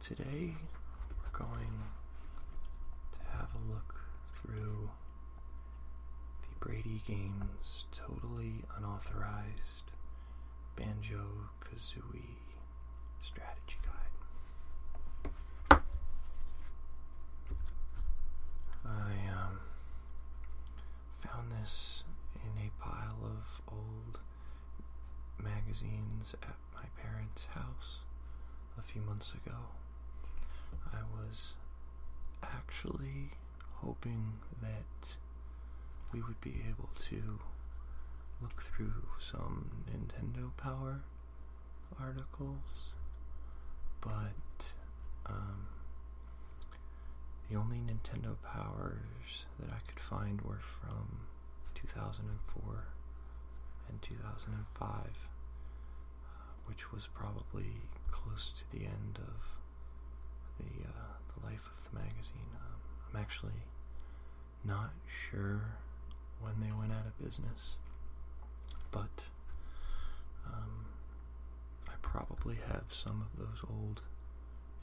Today we're going to have a look through the Brady Games totally unauthorized Banjo Kazooie strategy guide. I um, found this in a pile of old magazines at my parents' house a few months ago. I was actually hoping that we would be able to look through some Nintendo Power articles, but um, the only Nintendo Powers that I could find were from 2004 and 2005, uh, which was probably close to the end of the, uh, the life of the magazine. Um, I'm actually not sure when they went out of business, but um, I probably have some of those old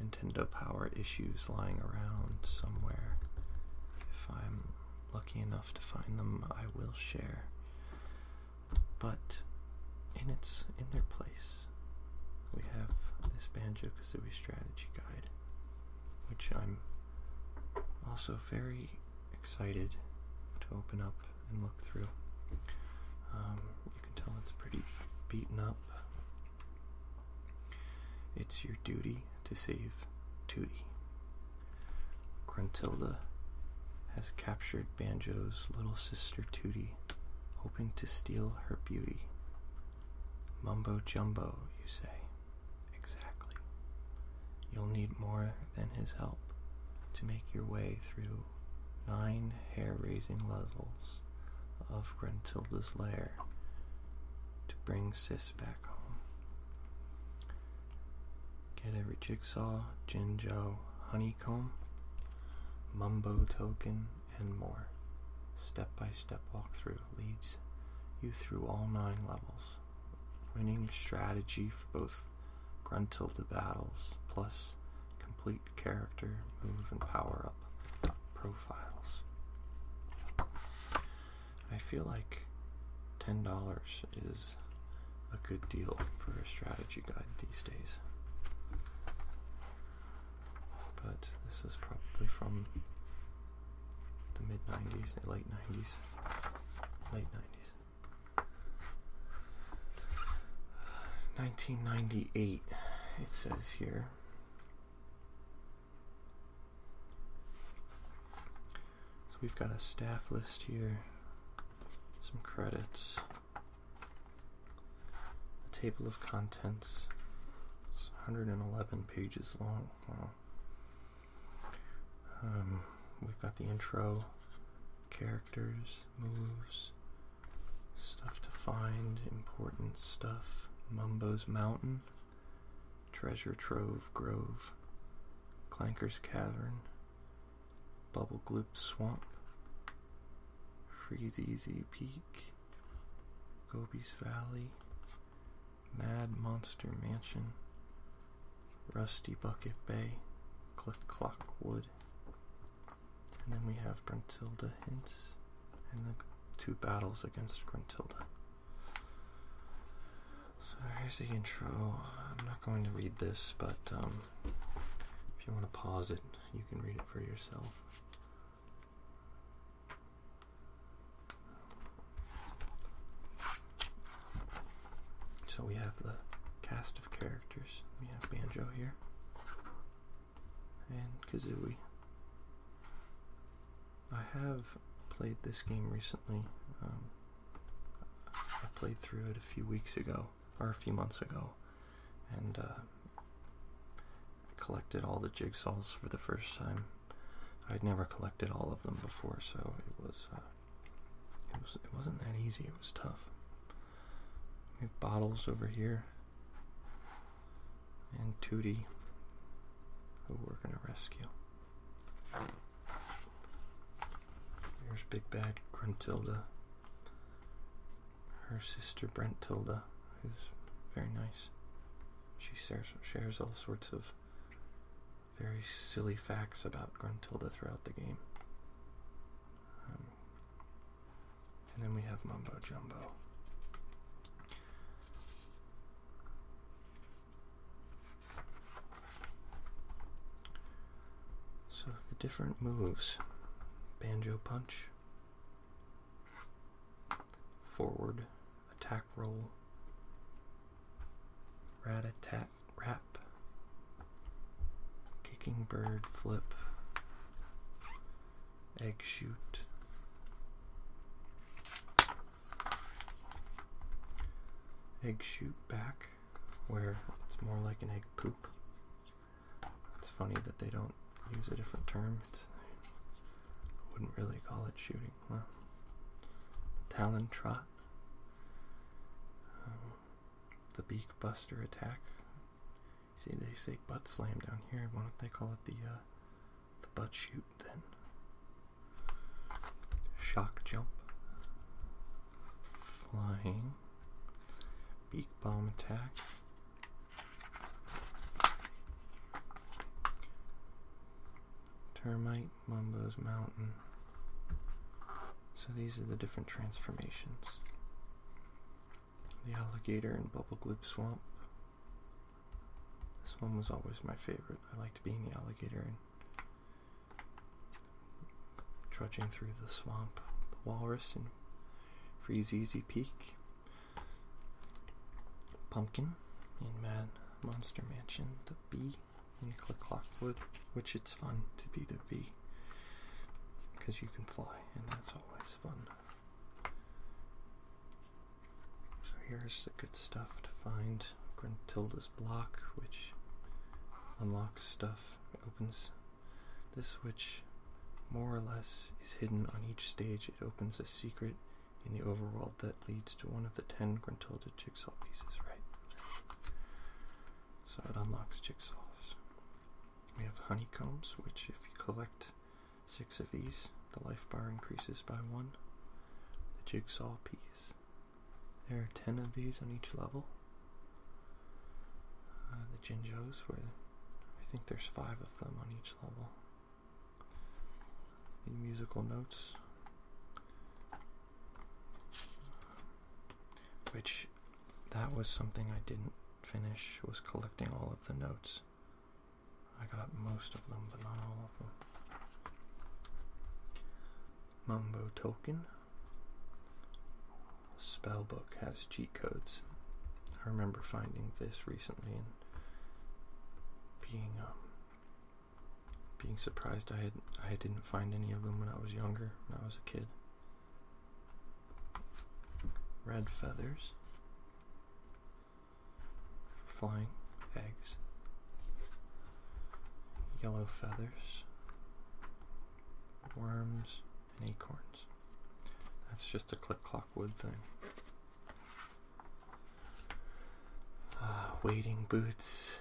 Nintendo Power issues lying around somewhere. If I'm lucky enough to find them, I will share. But in its in their place, we have this Banjo Kazooie strategy guide, which I'm also very excited to open up and look through. Um, you can tell it's pretty beaten up. It's your duty to save Tootie. Gruntilda has captured Banjo's little sister Tootie, hoping to steal her beauty. Mumbo jumbo, you say. Exactly. You'll need more than his help to make your way through nine hair raising levels of Gruntilda's lair to bring Sis back home. Get every jigsaw, Jinjo, honeycomb, mumbo token, and more. Step by step walkthrough leads you through all nine levels. Winning strategy for both gruntled battles, plus complete character, move, and power up pro profiles. I feel like $10 is a good deal for a strategy guide these days. But this is probably from the mid 90s, late 90s. Late 90s. 1998, it says here. So we've got a staff list here, some credits, the table of contents. It's 111 pages long. Um, we've got the intro, characters, moves, stuff to find, important stuff, Mumbo's Mountain. Treasure Trove Grove, Clanker's Cavern, Bubble Gloop Swamp, Freeze Easy Peak, Gobi's Valley, Mad Monster Mansion, Rusty Bucket Bay, Click Clock Wood, and then we have Brentilda Hint in the two battles against Gruntilda. So here's the intro. I'm not going to read this, but um, if you want to pause it, you can read it for yourself. So we have the cast of characters. We have Banjo here and Kazooie. I have played this game recently. Um, I played through it a few weeks ago, or a few months ago, and uh, collected all the jigsaws for the first time. I'd never collected all of them before, so it was uh, it wasn't that easy. It was tough. We have bottles over here and Tootie, who we're going to rescue. There's Big Bad Gruntilda, her sister Brentilda, is very nice. She shares, shares all sorts of very silly facts about Gruntilda throughout the game. Um, and then we have Mumbo Jumbo. So the different moves banjo punch, forward, attack roll, rat attack wrap, kicking bird flip, egg shoot. Egg shoot back, where it's more like an egg poop. It's funny that they don't use a different term. It's, wouldn't really call it shooting. Well, talon trot, um, the beak buster attack, See, they say butt slam down here. Why don't they call it the uh, the butt shoot then? Shock jump, flying, beak bomb attack. Termite, Mumbo's Mountain. So these are the different transformations. The alligator in Bubblegloop Swamp. This one was always my favorite. I liked being the alligator and trudging through the swamp. The walrus and Freeze Peak. Pumpkin in Mad Monster Mansion. The bee in Clockwood, which it's fun to be the bee because you can fly, and that's always fun. So here's the good stuff to find. Gruntilda's block, which unlocks stuff, it opens this, which more or less is hidden on each stage. It opens a secret in the overworld that leads to one of the ten Gruntilda jigsaw pieces, right? So it unlocks jigsaws. We have honeycombs, which if you collect six of these, the life bar increases by one. The jigsaw piece. There are ten of these on each level. Uh, the Jinjos, where I think there's five of them on each level. The musical notes, which that was something I didn't finish, was collecting all of the notes. I got most of them, but not all of them. Mumbo Token. Spell book has cheat codes. I remember finding this recently and being um, being surprised I had I didn't find any of them when I was younger, when I was a kid red feathers, flying eggs, yellow feathers, worms, and acorns. That's just a click clock wood thing. Ah, wading boots,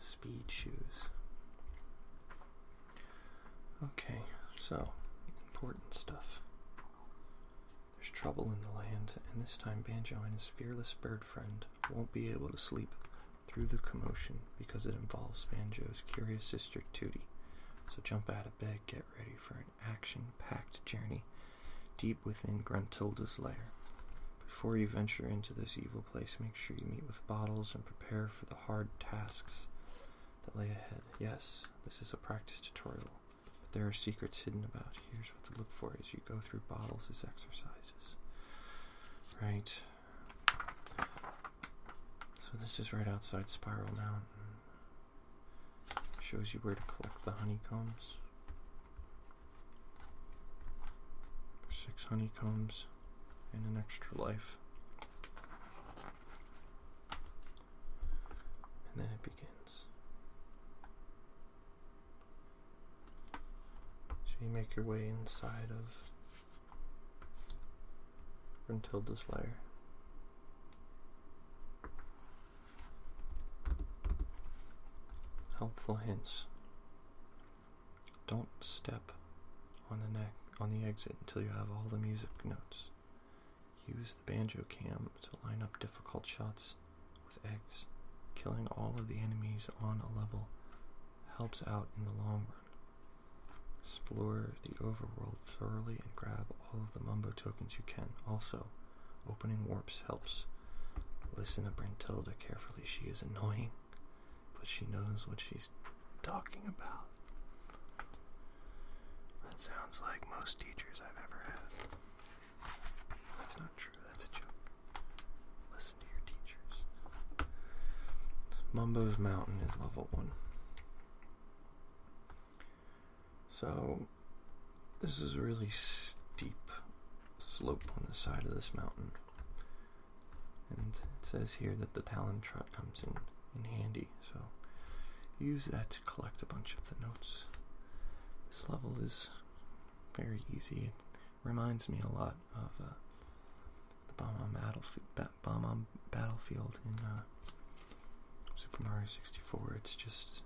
speed shoes. Okay, so important stuff. There's trouble in the land, and this time Banjo and his fearless bird friend won't be able to sleep through the commotion because it involves Banjo's curious sister Tootie. So jump out of bed, get ready for an action packed journey deep within Gruntilda's lair. Before you venture into this evil place, make sure you meet with bottles and prepare for the hard tasks that lay ahead. Yes, this is a practice tutorial, but there are secrets hidden about. Here's what to look for as you go through bottles as exercises. Right. So this is right outside Spiral Mountain. Shows you where to collect the honeycombs. Six honeycombs and an extra life and then it begins. So you make your way inside of Gruntilda's layer? Helpful hints. Don't step on the on the exit until you have all the music notes. Use the banjo cam to line up difficult shots with eggs. Killing all of the enemies on a level helps out in the long run. Explore the overworld thoroughly and grab all of the Mumbo tokens you can. Also, opening warps helps. Listen to Brentilda carefully. She is annoying, but she knows what she's talking about. That sounds like most teachers I've ever had. That's not true, that's a joke. Listen to your teachers. Mumbo's Mountain is level 1. So, this is a really steep slope on the side of this mountain. And it says here that the Talon Trot comes in, in handy so use that to collect a bunch of the notes. This level is very easy. It reminds me a lot of uh, the bomb on, battlefield in uh, Super Mario 64. It's just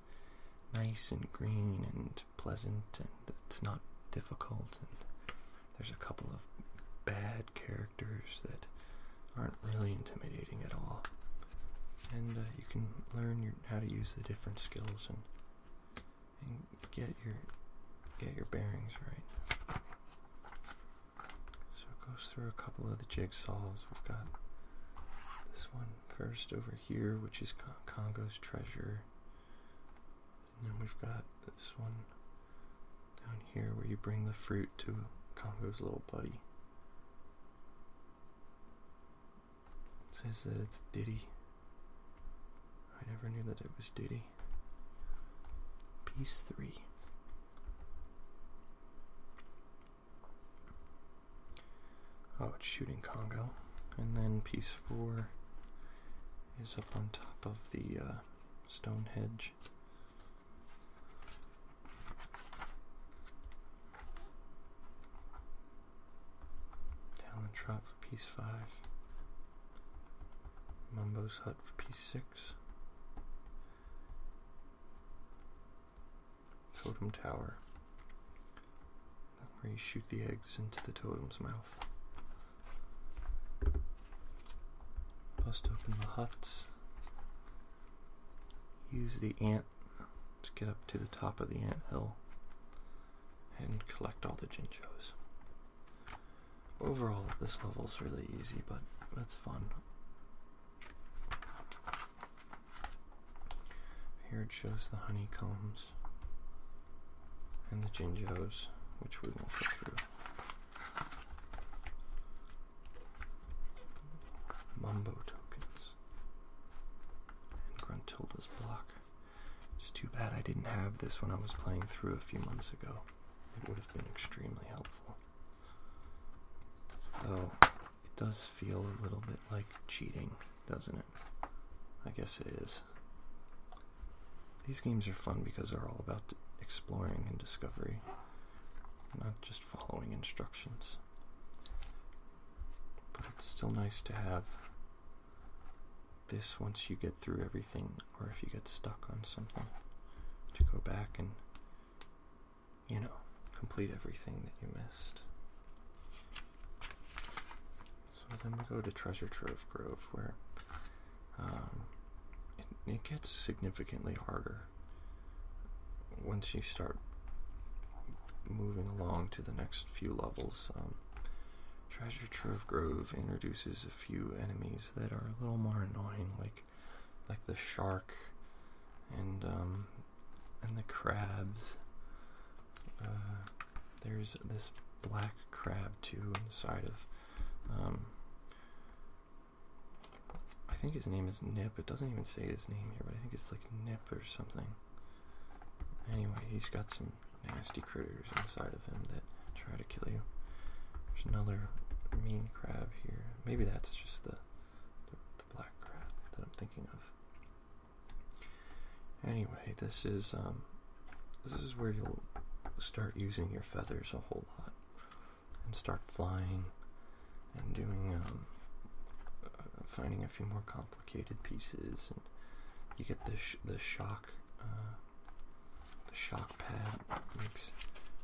nice and green and pleasant, and it's not difficult. And there's a couple of bad characters that aren't really intimidating at all. And uh, you can learn how to use the different skills and, and get your get your bearings right. So it goes through a couple of the jigsaws. We've got this one first over here, which is Congo's treasure. And then we've got this one down here where you bring the fruit to Congo's little buddy. says that it's Diddy. I never knew that it was Diddy. Piece 3. Oh, it's shooting Congo. And then piece 4 is up on top of the uh, stone hedge. Talon Trot for piece 5. Mumbo's Hut for piece 6. Totem Tower. Where you shoot the eggs into the totem's mouth. Bust open the huts use the ant to get up to the top of the ant hill and collect all the Jinchos. Overall, this level is really easy, but that's fun. Here it shows the honeycombs and the Jinjos, which we won't go through. Mumbo tokens. And Gruntilda's block. It's too bad I didn't have this when I was playing through a few months ago. It would have been extremely helpful. Though, it does feel a little bit like cheating, doesn't it? I guess it is. These games are fun because they're all about exploring and discovery not just following instructions. But it's still nice to have this once you get through everything, or if you get stuck on something, to go back and, you know, complete everything that you missed. So then we go to Treasure Trove Grove, where um, it gets significantly harder once you start moving along to the next few levels, um, Treasure Trove Grove introduces a few enemies that are a little more annoying, like like the shark and um, and the crabs. Uh, there's this black crab too inside of um, I think his name is Nip. It doesn't even say his name here, but I think it's like Nip or something. Anyway, he's got some nasty critters inside of him that try to kill you. There's another mean crab here. Maybe that's just the, black crab that I'm thinking of. Anyway, this is um, this is where you'll start using your feathers a whole lot and start flying and doing um, uh, finding a few more complicated pieces and you get the the shock uh, the shock pad makes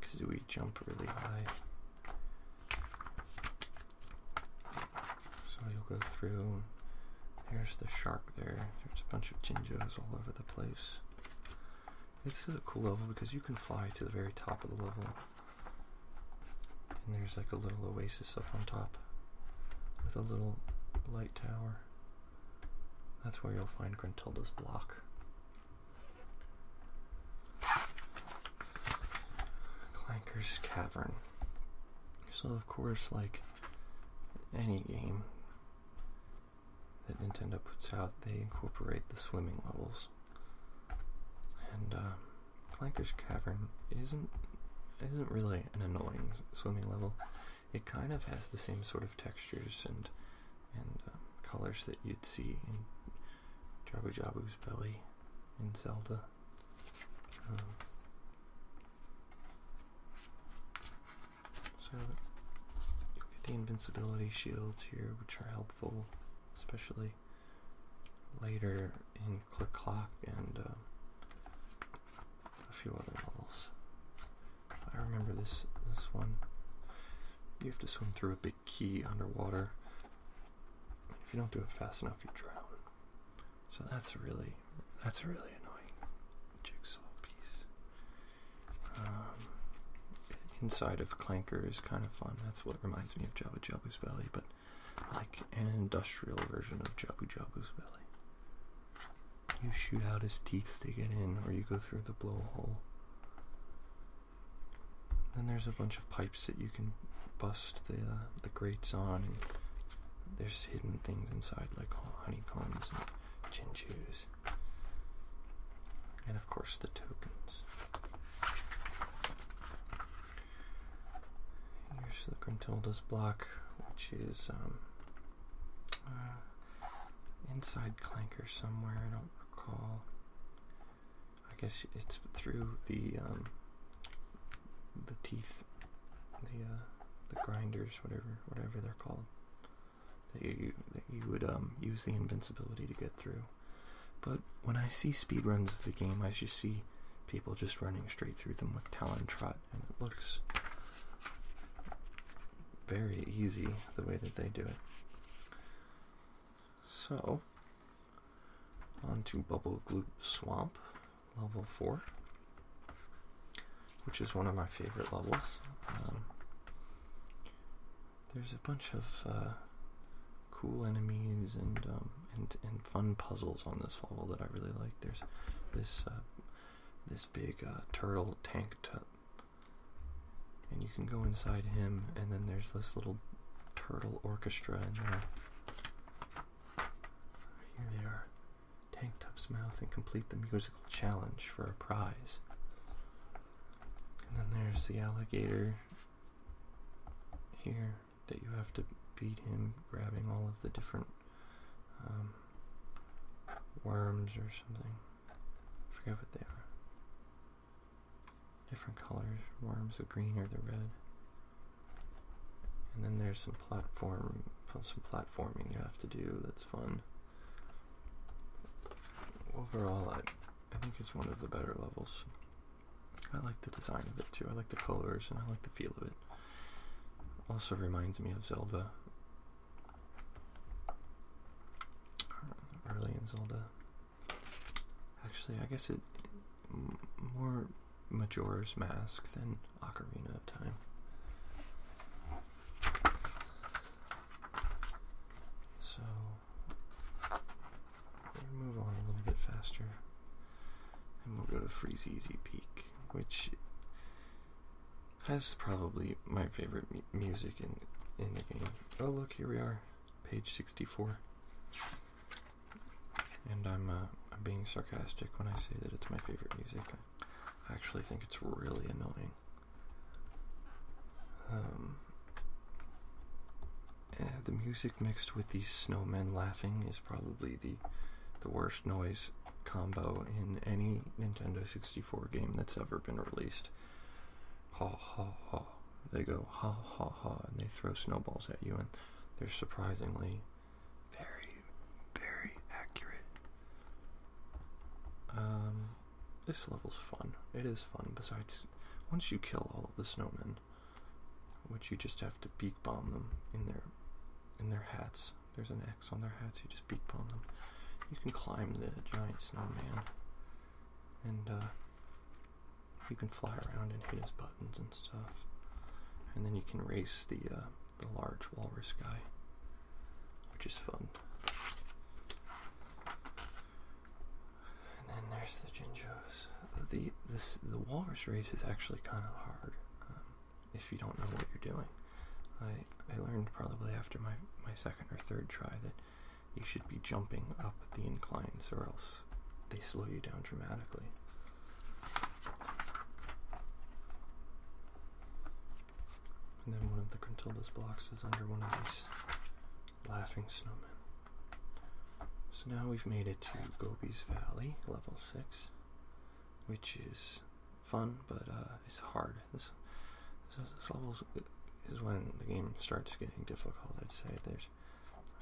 because we jump really high so you'll go through There's the shark there there's a bunch of jinjos all over the place it's a cool level because you can fly to the very top of the level. And there's like a little oasis up on top with a little light tower. That's where you'll find Gruntilda's block. Clanker's Cavern. So of course, like any game, that Nintendo puts out, they incorporate the swimming levels. And uh, Cavern isn't isn't really an annoying swimming level. It kind of has the same sort of textures and and uh, colors that you'd see in Jabu Jabu's belly in Zelda. Um, so you get the invincibility shields here, which are helpful, especially later in Click Clock and uh, a few other levels. I remember this this one. You have to swim through a big key underwater. If you don't do it fast enough, you drown. So that's really that's really annoying jigsaw piece. Um, inside of Clanker is kind of fun. That's what reminds me of Jabu Jabu's Belly, but like an industrial version of Jabu Jabu's Belly. You shoot out his teeth to get in, or you go through the blowhole. Then there's a bunch of pipes that you can bust the uh, the grates on, and there's hidden things inside like honeycombs and chinchus and of course the tokens. Here's the Gruntilda's block, which is um, uh, inside Clanker somewhere, I don't recall. I guess it's through the um, the teeth, the uh, the grinders, whatever whatever they're called that you that you would um, use the invincibility to get through. But when I see speedruns of the game, I just see people just running straight through them with Talon Trot, and it looks very easy the way that they do it. So, on to Bubble Gloop Swamp, level 4, which is one of my favorite levels. Um, there's a bunch of uh, cool enemies and um, and and fun puzzles on this level that I really like. There's this uh, this big uh, turtle tank tub, and you can go inside him. And then there's this little turtle orchestra in there. Here they are, Tank Tub's mouth, and complete the musical challenge for a prize. And then there's the alligator here that you have to beat him, grabbing all of the different um, worms or something. I forget what they are. Different colors, worms, the green or the red. And then there's some platform, some platforming you have to do that's fun. Overall, I, I think it's one of the better levels. I like the design of it too. I like the colors and I like the feel of it. Also reminds me of Zelda. Early Zelda. Actually, I guess it more Majora's Mask than Ocarina of Time. So we'll move on a little bit faster, and we'll go to Freeze Easy Peak, which has probably my favorite music in in the game. Oh look, here we are, page sixty four. And I'm, uh, I'm being sarcastic when I say that it's my favorite music. I actually think it's really annoying. Um, the music mixed with these snowmen laughing is probably the the worst noise combo in any Nintendo 64 game that's ever been released. Ha ha ha. They go ha ha ha and they throw snowballs at you and they're surprisingly very, very accurate. Um this level's fun. It is fun. Besides, once you kill all of the snowmen, which you just have to beak bomb them in their in their hats. There's an X on their hats. You just beak bomb them. You can climb the giant snowman, and uh, you can fly around and hit his buttons and stuff. And then you can race the uh, the large walrus guy, which is fun. And then there's the Jinjos. The this the walrus race is actually kind of hard um, if you don't know what you're doing. I I learned probably after my my second or third try that you should be jumping up the inclines or else they slow you down dramatically. And then one of the Gruntilda's blocks is under one of these laughing snowmen. So now we've made it to Gobi's Valley, level 6, which is fun, but uh, it's hard. This, level is when the game starts getting difficult, I'd say. There's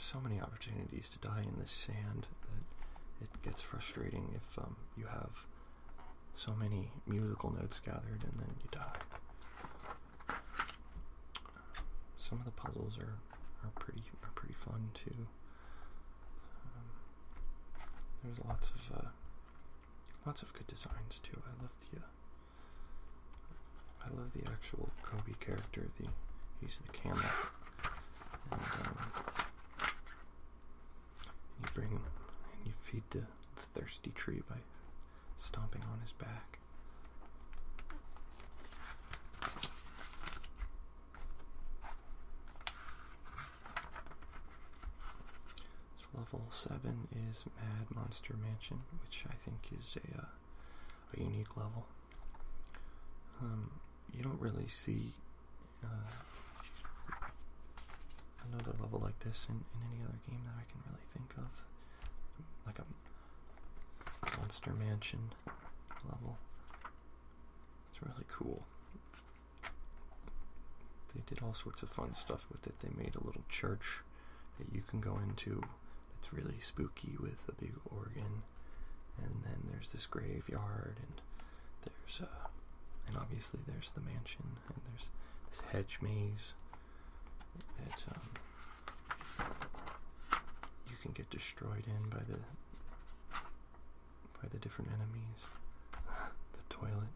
so many opportunities to die in this sand that it gets frustrating if um, you have so many musical notes gathered and then you die. Some of the puzzles are are pretty are pretty fun too. Um, there's lots of uh, lots of good designs too. I love the uh, I love the actual Kobe character. The he's the camel. Um, you bring him and you feed the, thirsty tree by stomping on his back. level seven is Mad Monster Mansion, which I think is a uh, unique level. Um, you don't really see uh, another level like this in, any other game that I can really think of. Like a Monster Mansion level. It's really cool. They did all sorts of fun stuff with it. They made a little church that you can go into that's really spooky with a big organ. And then there's this graveyard, and there's, a, uh, and obviously there's the mansion and there's this hedge maze that um, you can get destroyed in by the by the different enemies. the toilet.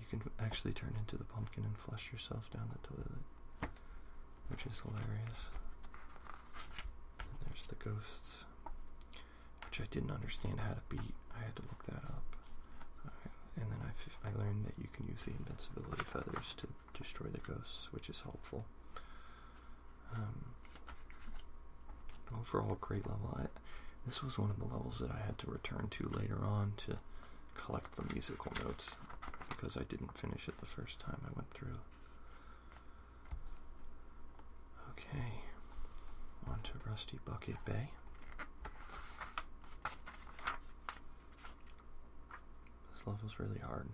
You can actually turn into the pumpkin and flush yourself down the toilet, which is hilarious. And there's the ghosts, which I didn't understand how to beat. I had to that up. And then I, I learned that you can use the invincibility feathers to destroy the ghosts, which is helpful. Um, overall, great level. this was one of the levels that I had to return to later on to collect the musical notes because I didn't finish it the first time I went through. Okay, on to Rusty Bucket Bay. This level's really hard.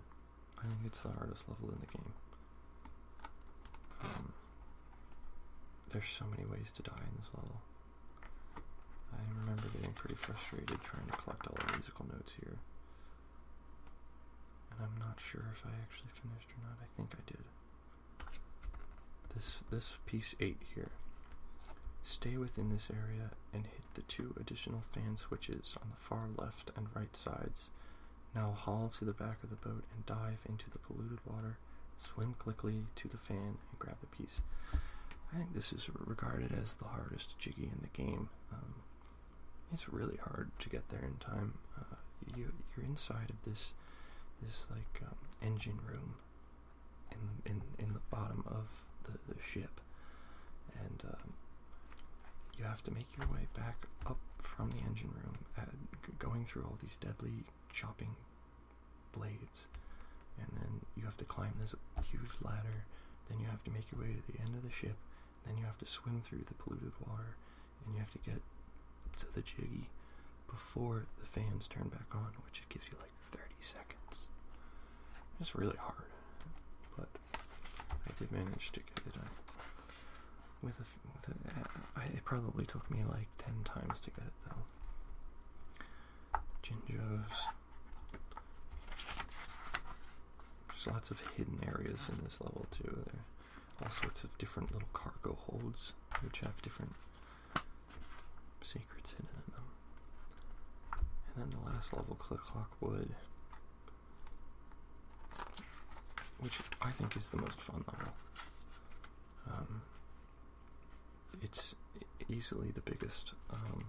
I think it's the hardest level in the game. Um, there's so many ways to die in this level. I remember getting pretty frustrated trying to collect all the musical notes here. And I'm not sure if I actually finished or not. I think I did this this piece 8 here stay within this area and hit the two additional fan switches on the far left and right sides now haul to the back of the boat and dive into the polluted water swim quickly to the fan and grab the piece i think this is regarded as the hardest jiggy in the game um, it's really hard to get there in time uh, you, you're inside of this this like um, engine room in in in the bottom of the, ship, and um, you have to make your way back up from the engine room, going through all these deadly chopping blades, and then you have to climb this huge ladder. Then you have to make your way to the end of the ship. Then you have to swim through the polluted water, and you have to get to the jiggy, before the fans turn back on, which it gives you like 30 seconds. It's really hard, but I did manage to get it done. With a, with a I, it probably took me like 10 times to get it though. Ginjos. There's lots of hidden areas in this level too. There all sorts of different little cargo holds which have different secrets hidden in them. And then the last level, Click Clock Wood, which I think is the most fun level. Um, it's easily the biggest um,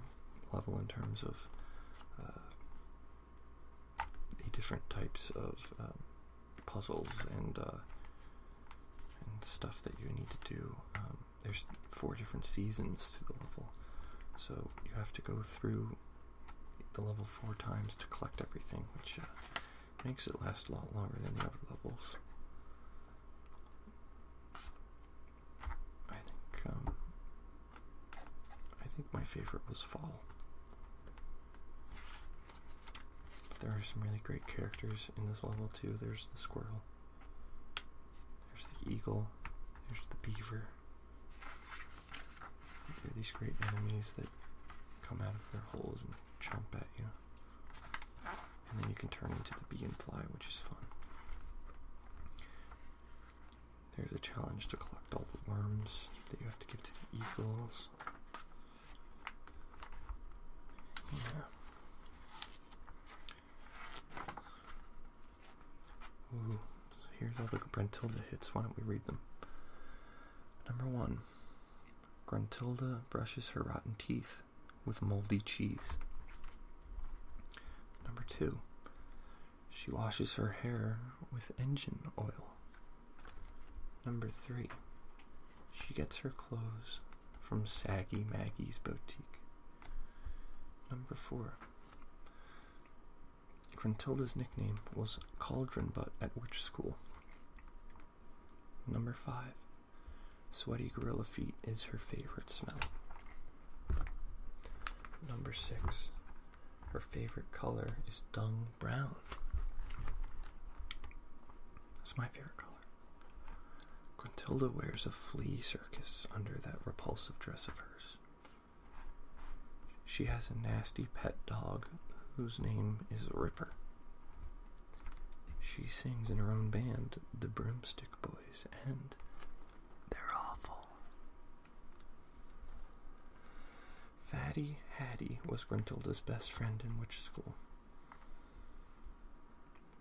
level in terms of uh, the different types of um, puzzles uh, and, stuff that you need to do. Um, there's four different seasons to the level, so you have to go through the level four times to collect everything, which uh, makes it last a lot longer than the other levels. I think um, I think my favorite was fall. There are some really great characters in this level too. There's the squirrel. There's the eagle. There's the beaver. these great enemies that come out of their holes and chomp at you. And then you can turn into the bee and fly, which is fun. There's a challenge to collect all the worms that you have to give to the eagles. Yeah. Ooh, here's all the Gruntilda hits. Why don't we read them? Number one Gruntilda brushes her rotten teeth with moldy cheese. Number two She washes her hair with engine oil. Number three she gets her clothes from Saggy Maggie's boutique. Number four. Gruntilda's nickname was Cauldron Butt at which school? Number five. Sweaty gorilla feet is her favorite smell. Number six. Her favorite color is dung brown. It's my favorite color. Gruntilda wears a flea circus under that repulsive dress of hers. She has a nasty pet dog whose name is Ripper. She sings in her own band, the Broomstick Boys, and they're awful. Fatty Hattie was Gruntilda's best friend in Witch school?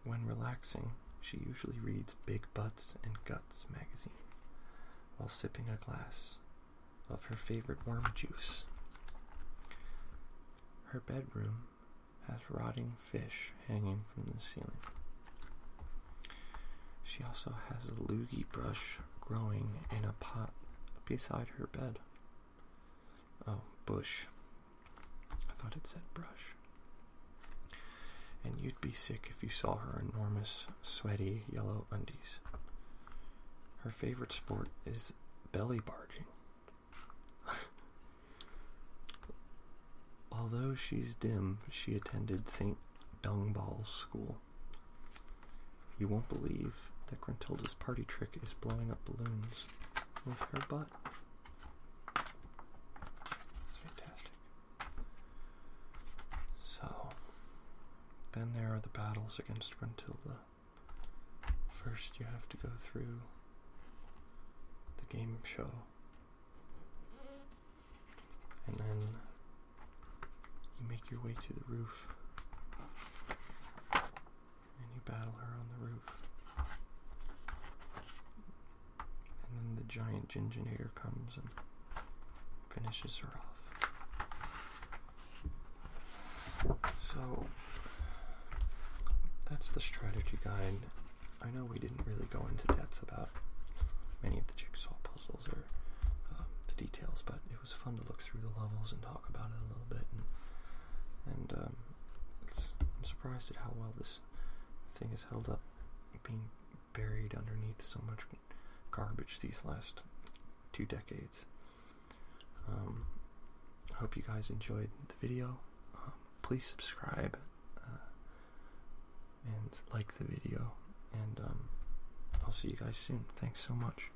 When relaxing, she usually reads Big Butts and Guts magazine while sipping a glass of her favorite worm juice. Her bedroom has rotting fish hanging from the ceiling. She also has a loogie brush growing in a pot beside her bed. Oh, bush. I thought it said brush. And you'd be sick if you saw her enormous, sweaty, yellow undies. Her favorite sport is belly barging. Although she's dim, she attended St. Dungball's School. You won't believe that Gruntilda's party trick is blowing up balloons with her butt. fantastic. So, then there are the battles against Gruntilda. First, you have to go through the game show, and then you make your way to the roof and you battle her on the roof. And then the giant Ginginator comes and finishes her off. So that's the strategy guide. I know we didn't really go into depth about many of the jigsaw puzzles or uh, the details, but it was fun to look through the levels and talk about it a little bit, and, um, I'm surprised at how well this thing has held up, being buried underneath so much garbage these last two decades. I um, hope you guys enjoyed the video. Um, please subscribe uh, and like the video, and I'll see you guys soon. Thanks so much.